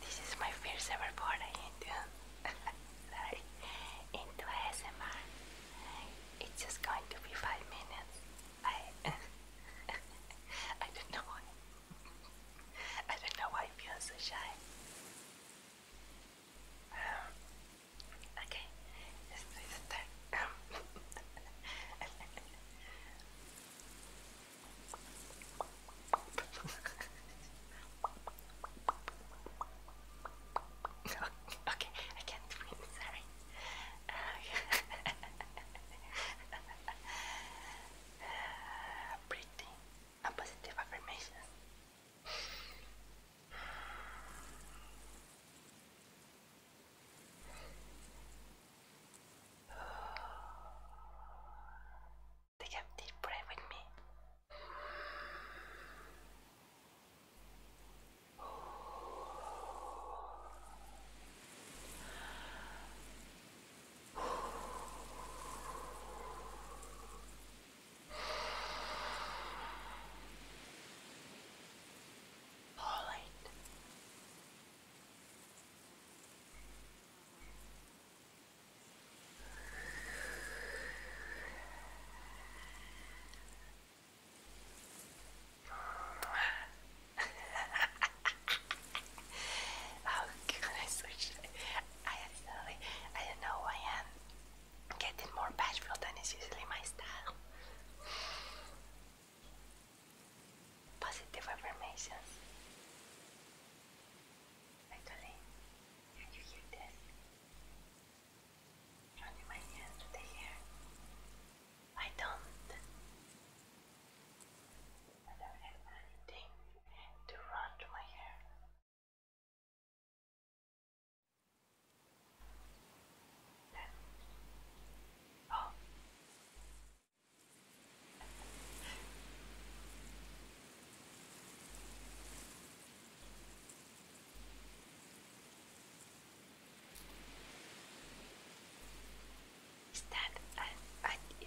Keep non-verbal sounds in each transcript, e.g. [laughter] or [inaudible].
This is my first ever foray into sorry, [laughs] into ASMR. It's just going to be five minutes. I [laughs] I don't know why. [laughs] I don't know why I feel so shy. Um, okay, estoy de estar. no, okay, I can't do sorry. Um, positive affirmations. Take a deep breath with me. Falling. oh goodness, I, I am silly. I didn't know who I am getting more bashful than is usually my style. Positive affirmations. Actually, can you hear this? Running my hand to the hair. I don't. I don't have anything to run to my hair. Oh. Is that an,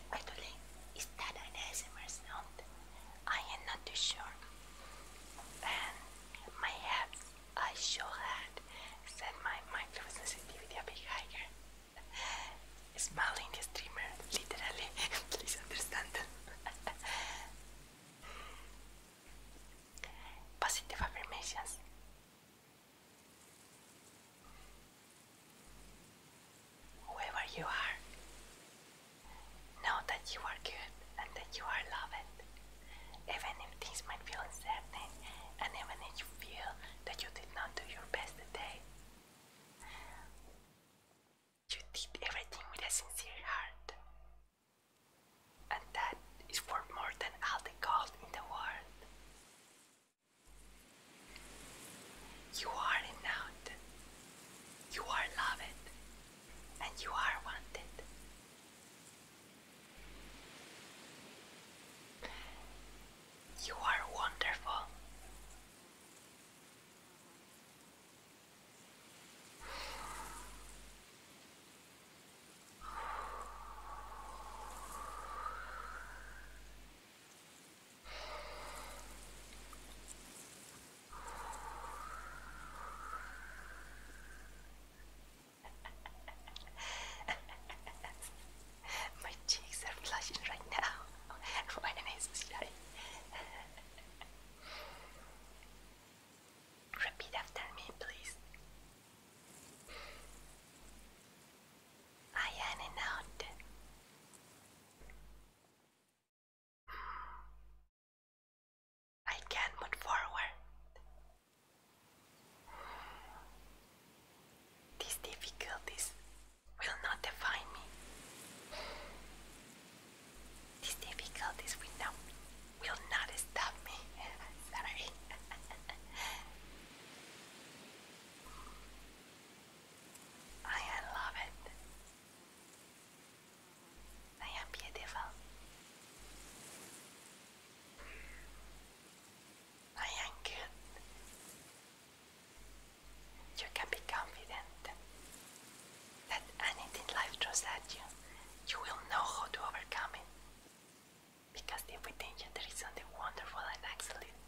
don't think, is that an ASMR I am not too sure. And my abs, I sure had said my microsensitivity a bit higher. Smiling the streamer, literally, [laughs] please understand. [laughs] Positive affirmations whoever you are. Know that you are good and that you are loved, even if things might feel uncertain and even if you feel that you did not do your best today. You did everything with a sincere heart, and that is worth more than all the gold in the world. You are enough. You are loved and you are wanted. You are wonderful. [laughs] My cheeks are flushing right now. [laughs] Why am I so [laughs] Repeat after me, please. I am I can move forward. These difficulties will not define me. These difficulties will not, will not stop me. [laughs] Sorry. [laughs] I love it. I am beautiful. I am good. You can be confident that anything life throws at you, you will know how to overcome it. Because within you there is something wonderful and excellent,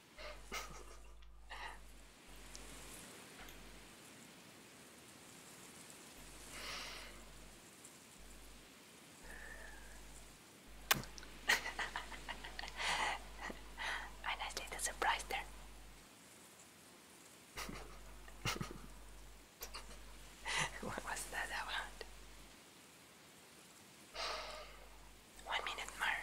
I nicely the surprise there. [laughs] what was that One minute more.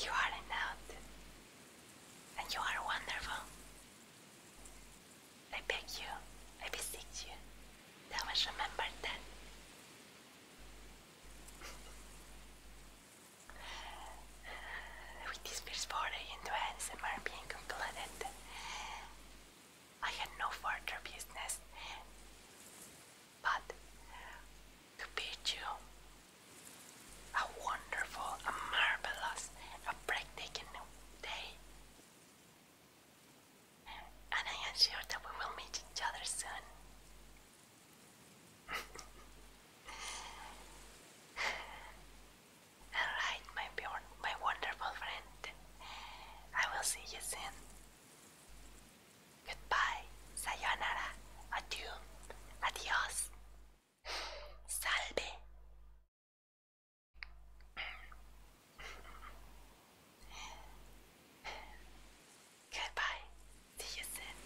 You are enough, and you are wonderful. I beg you, I beseech you, always remember that. With this first foray into ASMR being completed, I had no further business but to bid you a wonderful, a marvelous, a breathtaking day and I am that we will meet each other soon. [laughs] Alright, my, my wonderful friend. I will see you soon. Goodbye. Sayonara. Adieu. Adios. Salve. Goodbye. See you soon.